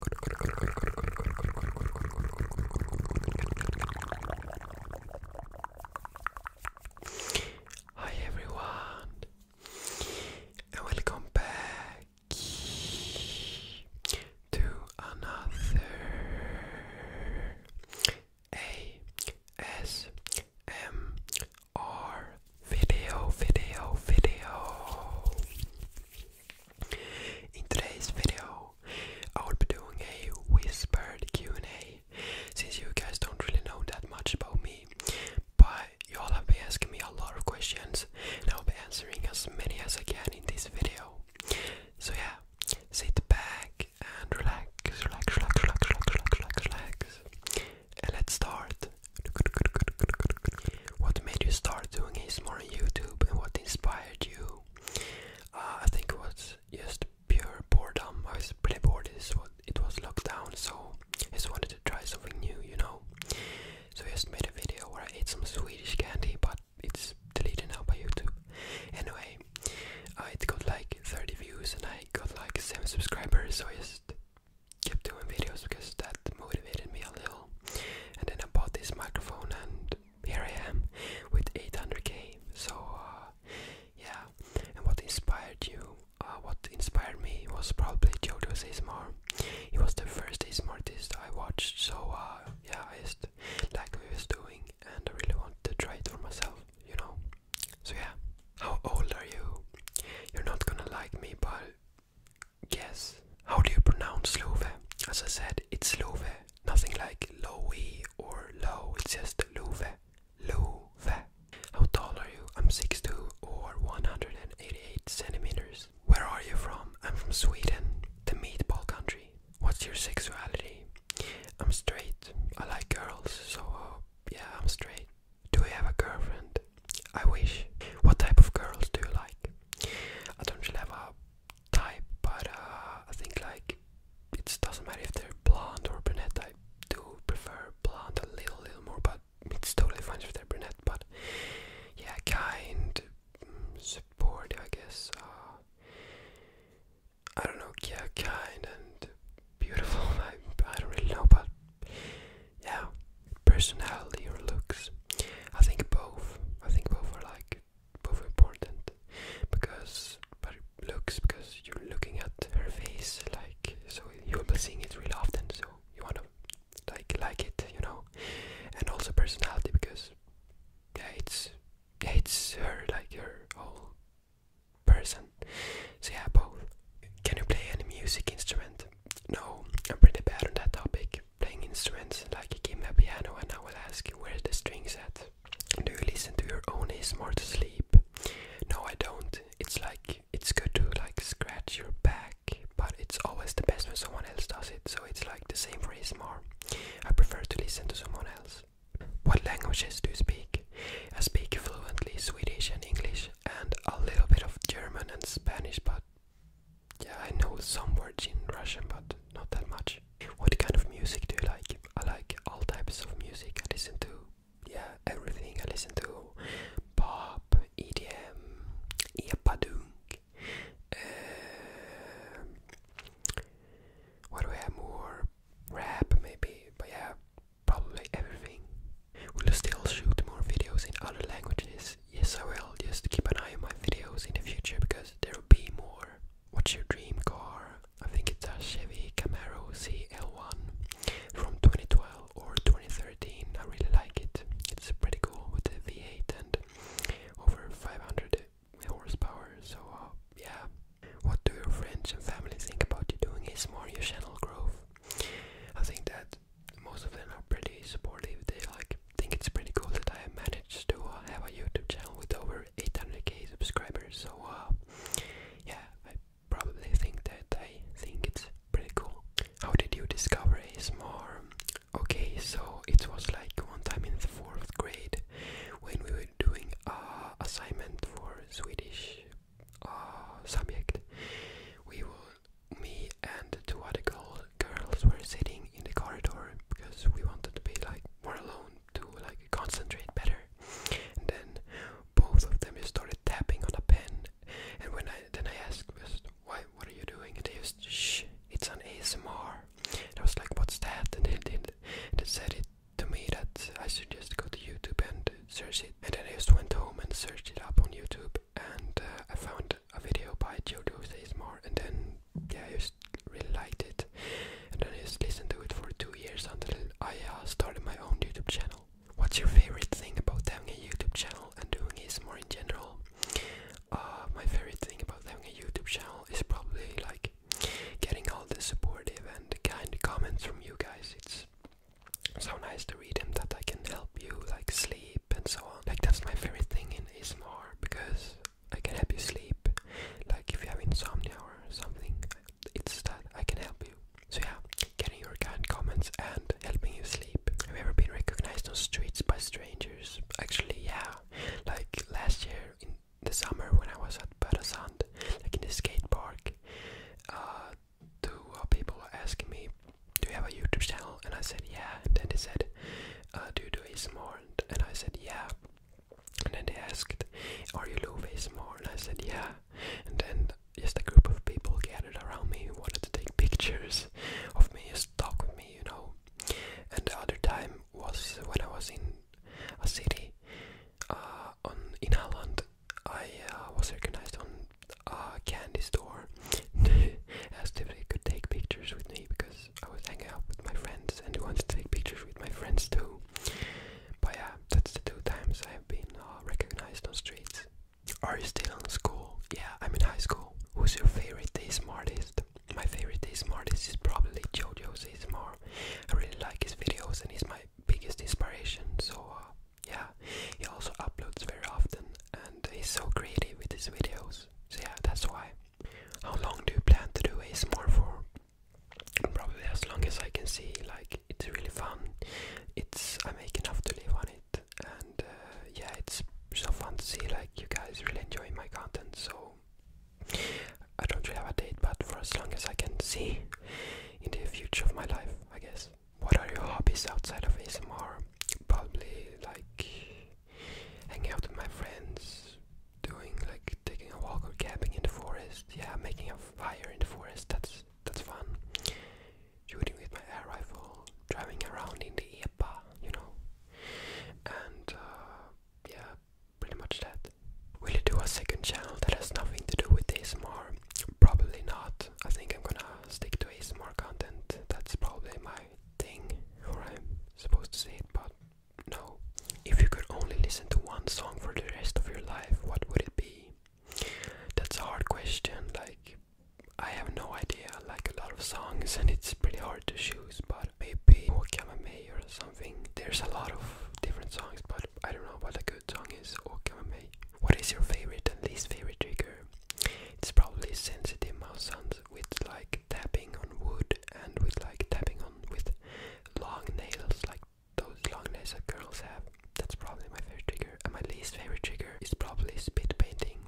Hi everyone, and welcome back to another ASMR video, video, video. In today's video, I will be doing a whispered Q&A, since you guys don't really know that much about me, but you all have been asking me a lot of questions, and I will be answering as many as I can in this video. So yeah, sit back and relax, relax, relax, relax, relax, relax, relax, and let's start. What made you start doing ASMR on YouTube and what inspired you? Uh, I think it was just pure boredom. I was pretty bored. It was lockdown, so I just wanted to try something new, you know. So I just made a video where I ate some Swedish candy, but it's deleted now by YouTube. Anyway, uh, it got like 30 views and I got like 7 subscribers, so I just kept doing videos because that motivated me a little. And then I bought this microphone, and here I am with 800k. So, uh, yeah. And what inspired you? Uh, what inspired me was probably JoJo's ASMR. He was the first ASMR artist I watched, so uh, yeah, I just like what was doing and I really wanted to try it for myself, you know. So yeah, how old are you? You're not gonna like me, but Yes. How do you pronounce Slove? As I said, it's Slove. Nothing like Lowy or Low. It's just Love. Love. How tall are you? I'm 6'2 or 188 centimeters. Where are you from? I'm from Sweden, the meatball country. What's your sexuality? I'm straight. I like girls, so uh, yeah, I'm straight. Do you have a girlfriend? I wish. What type of girls do you like? I don't really have a type, but uh, I think like it doesn't matter if they're blonde or brunette. I do prefer blonde a little, little more, but it's totally fine if they're brunette. But yeah, kind, supportive, I guess. Uh, I don't know, yeah, kind and beautiful. I, I don't really know, but yeah, personality or looks. I think both. I think both are like both important because but it looks because you're looking at her face like so you'll be seeing it really often so you wanna like like it you know and also personality because yeah it's it's her like her whole person so yeah both can you play any music instrument no I'm pretty bad on that topic playing instruments like give me a piano and I will ask you where the strings at. Do you listen to your own Is more to sleep? No I don't. It's like it's good to like scratch your back but it's always the best when someone else does it so it's like the same for ASMR. I prefer to listen to someone else. What languages do you speak? I speak fluently Swedish and English and a little bit of German and Spanish but yeah, I know some words in Russian, but not that much. What kind of music do you like? I like all types of music. I listen to, yeah, everything. I listen to pop, EDM, epadunk. Uh, what do we have more? Rap, maybe. But yeah, probably everything. We'll still shoot more videos in other languages yes I will, just keep an eye on my videos in the future because there will be more. What's your dream car? I think it's a Chevy Camaro CL1 from 2012 or 2013. I really like it. It's pretty cool with the V8 and over 500 horsepower. So uh, yeah. What do your friends and family think about you doing this? more your channel growth? I think that most of them are pretty supportive. They like think it's pretty cool that I managed to uh, have a YouTube channel with over 800k subscribers. So uh, yeah, I probably think that I think it's pretty cool. How did you discover ASMR? Okay, so it was like one time in the fourth grade when we were doing a uh, assignment for Swedish subject. We were me and two other girls were sitting in the corridor because we wanted to be like more alone to like concentrate better. And then both of them just started tapping on a pen. And when I then I asked, "Why? What are you doing?" And they just, "Shh, it's an ASMR." I was like, "What's that?" And they did. they said it to me that I should just go to YouTube and search it. And then I just went home and searched it up on YouTube and uh, I found a video by Jodo Seismar and then yeah, I just really liked it and then I just listened to it for two years until I uh, started my own YouTube channel. What's your favorite thing about having a YouTube channel and doing ASMR in general? Uh, my favorite thing about having a YouTube channel is probably like getting all the supportive and kind comments from you guys. It's so nice to read them that I can help you like sleep and so on. Like that's my favorite thing in ASMR because I can help you sleep. Like if you have insomnia or something, it's that I can help you. So yeah, getting your kind comments and helping you sleep. Have you ever been recognized on streets by strangers? Actually, yeah. Like last year in the summer when I was at Barasand, like in the skate park, uh, two uh, people were asking me do you have a YouTube channel? And I said, yeah. And then they said, uh, do you do ASMR? And, I said, yeah. And then they asked, are you Love ASMR? And I said, yeah. And then just a group of people gathered around me who wanted to take pictures of me, just talk with me, you know. And the other time was when I was in a city uh, on in Holland. I uh, was recognized on uh, candy store asked if they could take pictures with me because I was hanging out with my friends and they wanted to take pictures with my friends too. But yeah, that's the two times I've been uh, recognized on streets. Are you still in school? Yeah, I'm in high school. Who's your favorite day smartest? My favorite day smartest is probably JoJo's ASMR. I really like his videos and he's my biggest inspiration. So uh, yeah, he also uploads very often and he's so creative with his videos. So yeah, that's why. How long do you plan to do ASMR for? Probably as long as I can see. Like it's really fun. It's I make enough to live on it, and uh, yeah, it's so fun to see. Like you guys really enjoy my content, so. I don't really have a date, but for as long as I can see in the future of my life, I guess. What are your hobbies outside of ASMR? Probably like hanging out with my friends, doing like taking a walk or camping in the forest. Yeah, making a fire in the forest. That's that's fun. Shooting with my air rifle, driving around in the EPA, you know. And uh, yeah, pretty much that. Will you do a second channel that has nothing to do with ASMR? Probably not. I think I'm gonna stick to more content. That's probably my thing, or I'm supposed to say it, but no. If you could only listen to one song for the rest of your life, what would it be? That's a hard question. Like, I have no idea. Like, a lot of songs, and it's pretty hard to choose, but maybe or something. There's a lot of different songs, but I don't know what a good song is. Or What is your favorite and least favorite trigger? It's probably sensitive mouth sounds with like tapping on wood and with like tapping on with long nails like those long nails that girls have. That's probably my favorite trigger. And my least favorite trigger is probably spit painting.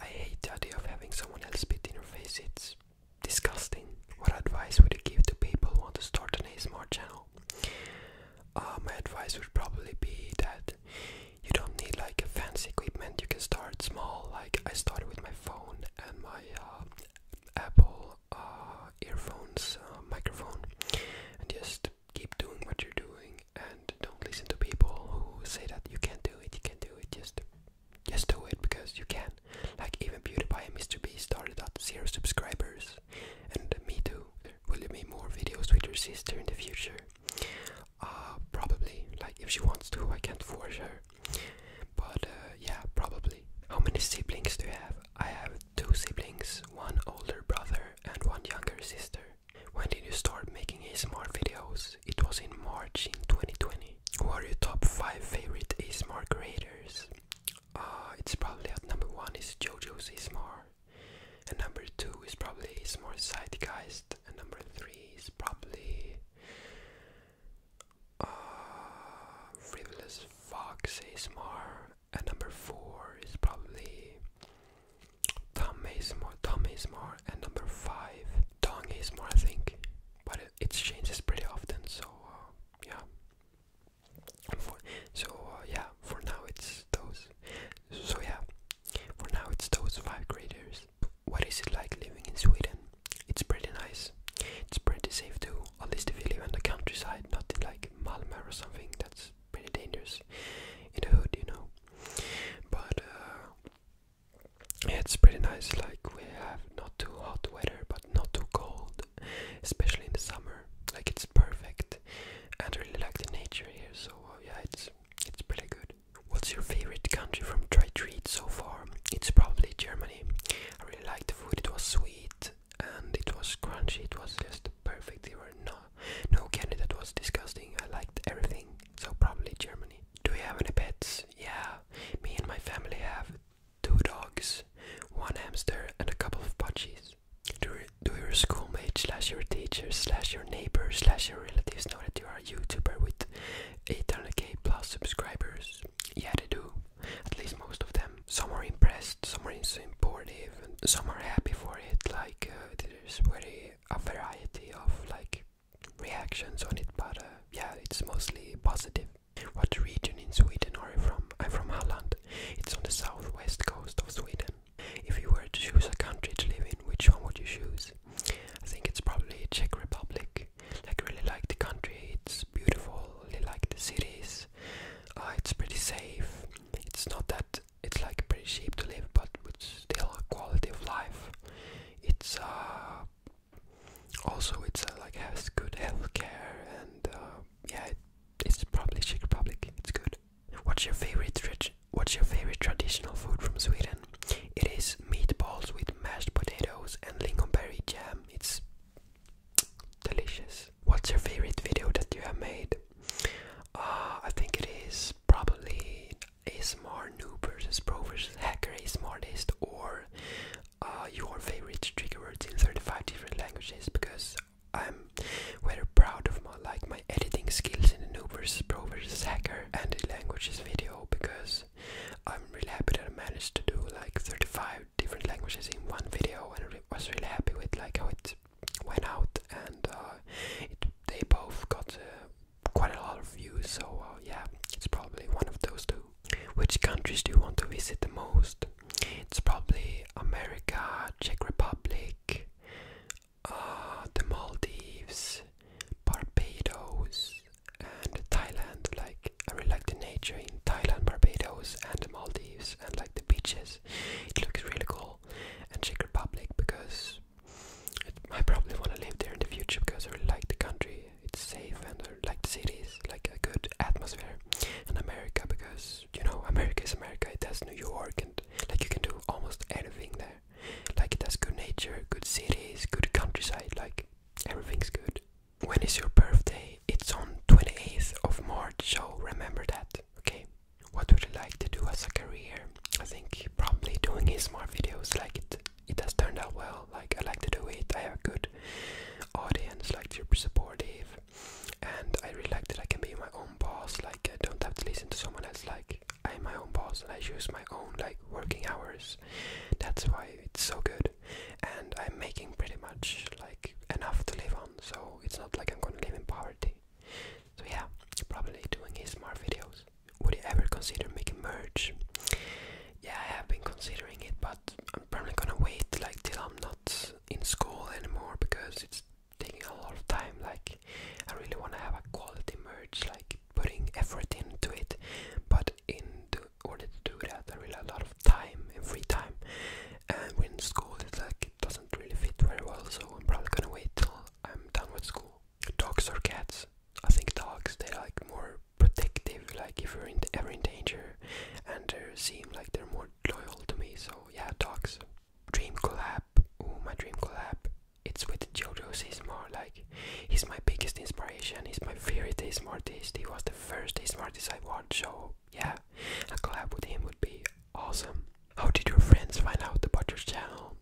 I hate the idea of having someone else spit in your face. It's disgusting. What advice would you give to people who want to start an smart channel? Uh, my advice would probably be that you don't need like a fancy equipment. You can start small. Like I started with my phone and my uh, Apple uh, earphones, uh, microphone, and just keep doing what you're doing. And don't listen to people who say that you can't do it. You can't do it. Just, just do it because you can. Like even PewDiePie and Mr. B started at zero subscribers, and me too. Will you make more videos with your sister in the future? Uh, probably. Like, if she wants to, I can't force her. But uh, yeah, probably. How many siblings do you have? I have two siblings, one older brother and one younger sister. When did you start making ASMR videos? It was in March in 2020. Who are your top 5 favorite ASMR creators? Uh, it's probably at number 1 is JoJo's ASMR. And number two is probably is more zeitgeist, and number three is probably uh, frivolous fox ASMR, and number four is probably Tom ASMR, Tom ASMR, and number five Dong ASMR, I think. But it, changes pretty often, so uh, yeah. so uh, yeah, for now it's those. So yeah, for now, it's those five graders. What is it like living in Sweden? It's pretty nice. It's pretty safe too, at least if you live in the countryside, not in like Malmö or something. That's pretty dangerous in the hood, you know. But uh, it's pretty nice. Like we have not too hot weather, but not too cold, especially in the summer. Like it's perfect, and I really like the nature here. So uh, yeah, it's it's pretty good. What's your favorite country from Try Treat so far? It's probably Germany. I really liked the food. It was sweet and it was crunchy. It was just perfect. There were no no candy that was disgusting. I liked everything. So probably Germany. Do you have any pets? Yeah. Me and my family have two dogs, one hamster and a couple of pudgies do your schoolmates slash your teachers slash your neighbors slash your relatives know that you are a YouTuber with 800k plus subscribers? Yeah, they do. At least most of them. Some are impressed, some are supportive, some are happy for it. Like uh, there's very a variety of like reactions on it, but uh, yeah, it's mostly positive. What region in Sweden are you from? I'm from Halland. It's on the southwest coast of Sweden. If you were to choose a country to live in, which one would you choose? I think it's probably Czech Republic. Like I really like the country. It's beautiful. I really like the cities. Uh, it's pretty safe. It's not that it's like pretty cheap to live, but with still a quality of life. It's uh, also it's uh, like has good health care and uh, yeah, it's probably Czech Republic. It's good. What's your favorite What's your favorite traditional food from Sweden? It is meatballs with mashed potatoes and lingonberry jam. It's delicious. What's your favorite video that you have made? Uh, I think it is probably a smart noob versus pro versus hacker smartest or uh, your favorite trigger words in 35 different languages because I'm very proud of my like my editing skills in the Noob vs Pro vs Hacker and the languages video because I'm really happy that I managed to do like 35 different languages in one video and I was really happy with like how it went out and uh, they both got uh, quite a lot of views so uh, yeah it's probably one of those two. Which countries do you want to visit the most? It's probably America, Czech Republic, uh, the Maldives, Barbados, and Thailand. Like I really like the nature in Thailand, Barbados, and the Maldives, and like the beaches. It looks really cool. And Czech Republic because I probably want to live there in the future because I really like the country. It's safe and I like the cities, like a good atmosphere. And America because you know America is America. It has New York and like you can do almost anything there. Like it has good nature, good cities, good countryside, like everything's good. When is your birthday? It's on 28th of March, so remember that, okay? What would you like to do as a career? I think probably doing smart videos, like it it has turned out well, like I like to do it, I have good audience, like super supportive and I really like that I can be my own boss, Like. I uh, don't have to listen to someone else. Like I am my own boss and I choose my own like working hours. That's why it's so good, and I'm making pretty much like enough to live on. So it's not like I'm gonna live in poverty. So yeah, probably doing smart videos. Would you ever consider making merch? Yeah, I have been considering it, but I'm probably gonna wait like till I'm not in school anymore because it's taking a lot of time. Like I really want to have a quality merge, like putting effort into it. But in order to do that, I really have a lot of time and free time. And when school is like it doesn't really fit very well, so I'm probably gonna wait till I'm done with school. Dogs or cats? I think dogs. They like more protective. Like if you're ever in danger, and they seem like they're more loyal to me. So yeah, dogs dream collab, oh my dream collab, it's with Jojo more Like, he's my biggest inspiration. He's my favorite ASMR artist. He was the first ASMR artist I watched. So yeah, a collab with him would be awesome. How did your friends find out about your channel?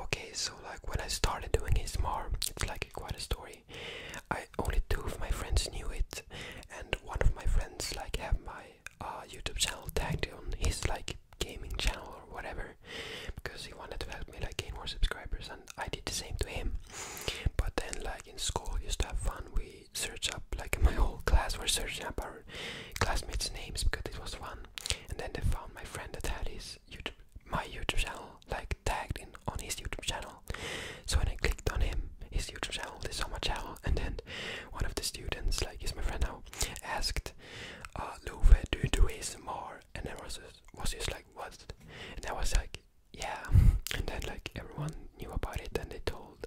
Okay, so like when I started doing ASMR, it's like quite a story. I only two of my friends knew it, and one of my friends like have my uh, YouTube channel tagged on his like gaming channel or whatever because he wanted to help me like gain more subscribers and I did the same to him but then like in school we used to have fun we searched up like my whole class were searching up our classmates names because it was fun and then they found my friend that had his YouTube my YouTube channel like tagged in on his YouTube channel so when I clicked on him his YouTube channel they saw my channel and then one of the students like he's my friend now asked Ah, Louvre do, do ASMR and I was was just like what? And I was like yeah and then like everyone knew about it and they told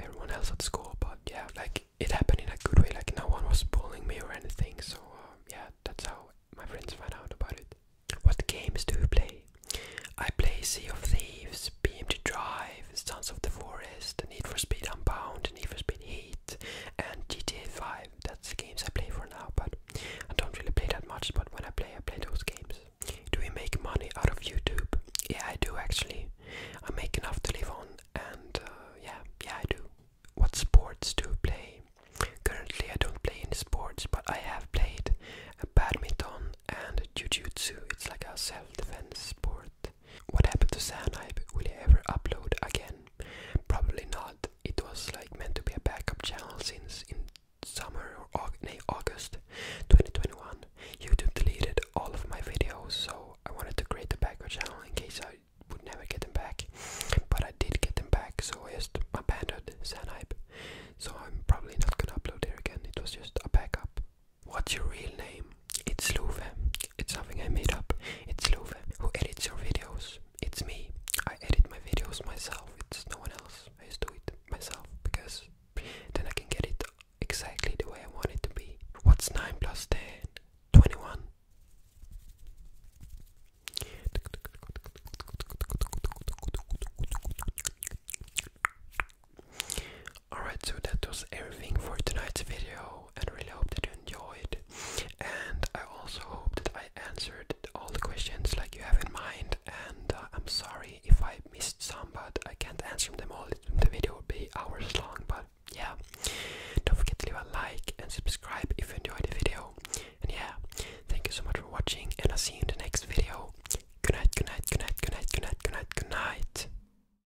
everyone else at school but yeah like it happened in a good way like no one was bullying me or anything so um, yeah that's how my friends found out about it. What games do you play? I play Sea of Thieves, BMG Drive, Sons of the Forest, Need for Speed Unbound, Need for Speed Heat, and GTA 5. That's the games I play for now, but I don't really play that much. But when I play, I play those games. Do we make money out of YouTube? Yeah, I do actually. I make enough to live on, and uh, yeah, yeah, I do. What sports do you play? Currently, I don't play any sports, but I have played badminton and jujutsu. It's like a self-defense sport. What happened to Sanhype? Will he ever upload again? Probably not. It was like meant to be a backup channel since in summer or August, 2021. YouTube deleted all of my videos, so I wanted to create a backup channel in case I would never get them back. But I did get them back, so I just abandoned Sanhype. So I'm probably not gonna upload there again. It was just a backup. What's your real name? It's Luve. It's something I made up. It's Luve. Who edits your videos? It's me. I edit my videos myself. It's no one else. I just do it myself because then I can get it exactly the way I want it to be. What's 9 plus 10? 21. Alright, so that was everything for tonight's video, and really hope that you enjoyed. And I also hope that I answered all the questions like you have in mind. And uh, I'm sorry if I missed some, but I can't answer them all. The video will be hours long, but yeah. Don't forget to leave a like and subscribe if you enjoyed the video. And yeah, thank you so much for watching, and I'll see you in the next video. Good night, good night, good night, good night, good night, good night, good night.